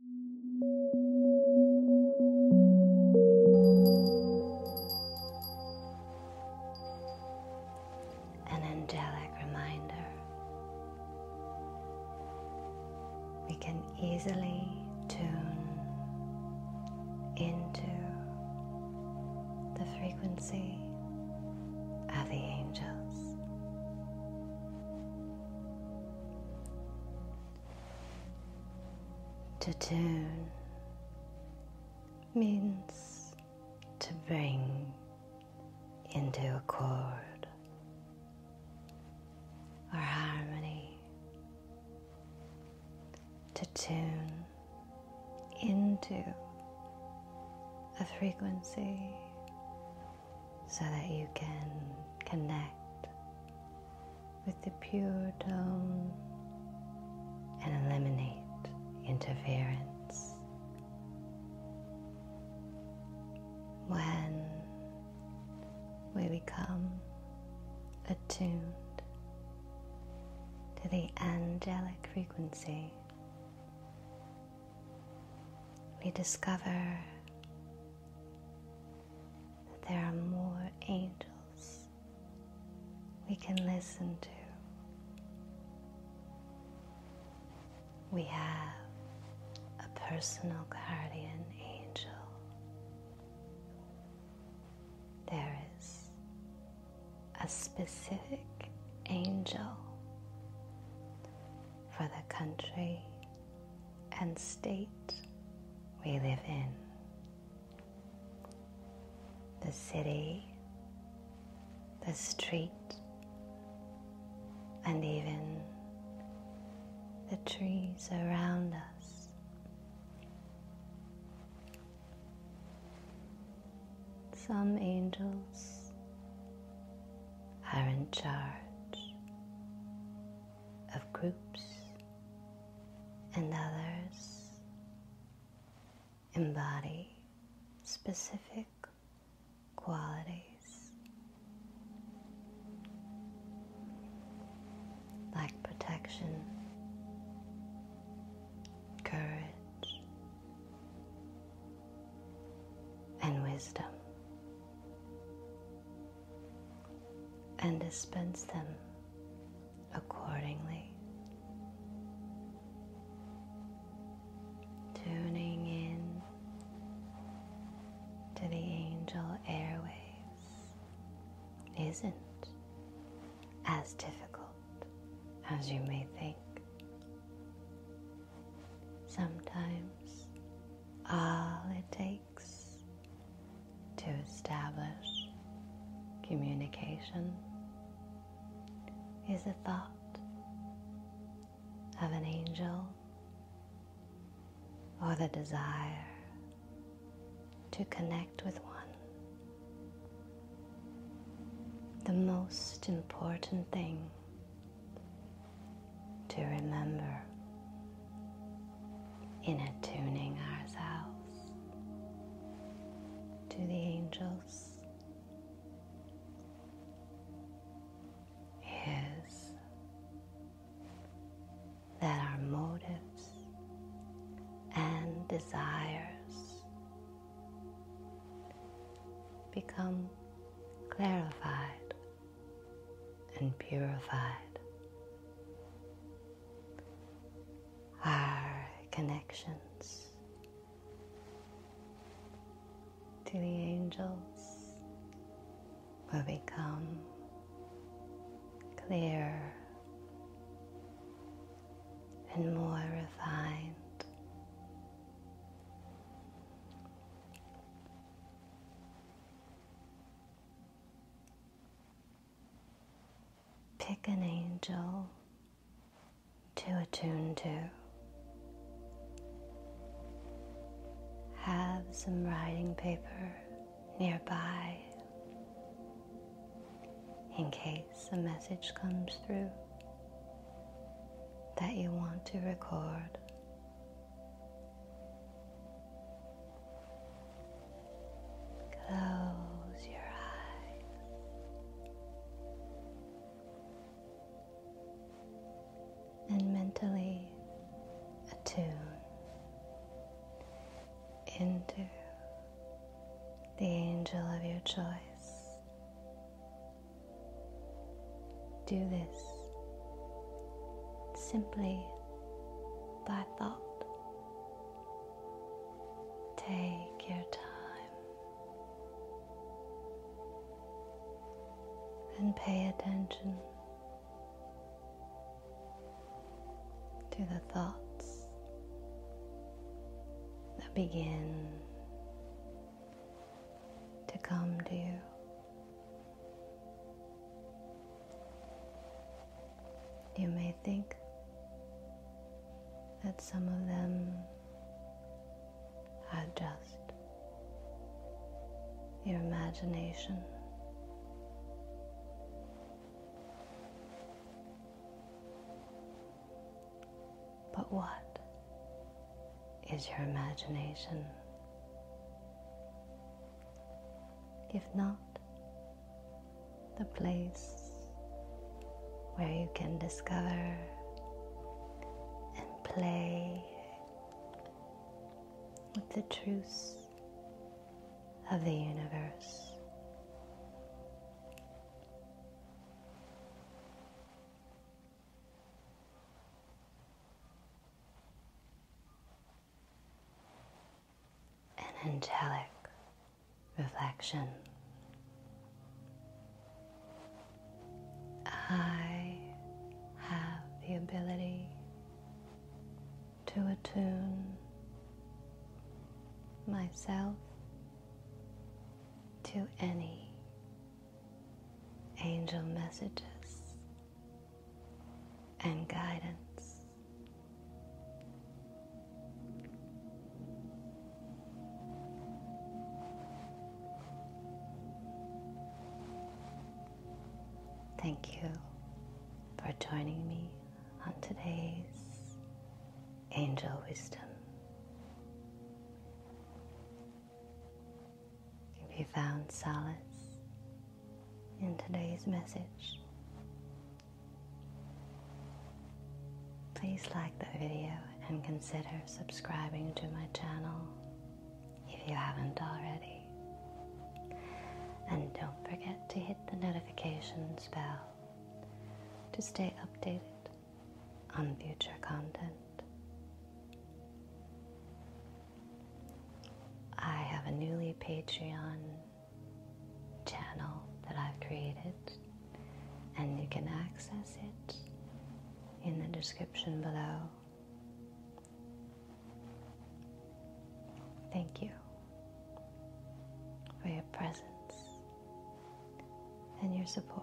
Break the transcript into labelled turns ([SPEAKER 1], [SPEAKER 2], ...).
[SPEAKER 1] An angelic reminder. We can easily tune into the frequency of the angels. To tune means to bring into accord or harmony, to tune into a frequency so that you can connect with the pure tone and eliminate interference. When we become attuned to the angelic frequency we discover that there are more angels we can listen to. We have a personal guardian angel. There is a specific angel for the country and state we live in. The city, the street, and even the trees around us. Some angels are in charge of groups and others embody specific qualities like protection, courage, and wisdom and dispense them accordingly. Tuning in to the angel airways isn't as difficult as you may think. Sometimes all it takes to establish communication is a thought of an angel or the desire to connect with one the most important thing to remember in attuning ourselves to the angels is that our motives and desires become clarified and purified. Our connections to the angels will become Clear and more refined. Pick an angel to attune to. Have some writing paper nearby in case a message comes through that you want to record. Close your eyes and mentally attune into the angel of your choice. Do this simply by thought. Take your time and pay attention to the thoughts that begin to come to you. You may think that some of them are just your imagination. But what is your imagination? If not, the place where you can discover and play with the truths of the universe. An angelic reflection. I have the ability to attune myself to any angel messages and guidance. Thank you for joining me on today's Angel Wisdom. If you found solace in today's message, please like the video and consider subscribing to my channel if you haven't already. And don't forget to hit the notifications bell to stay updated on future content. I have a newly Patreon channel that I've created and you can access it in the description below. Thank you for your presence and your support.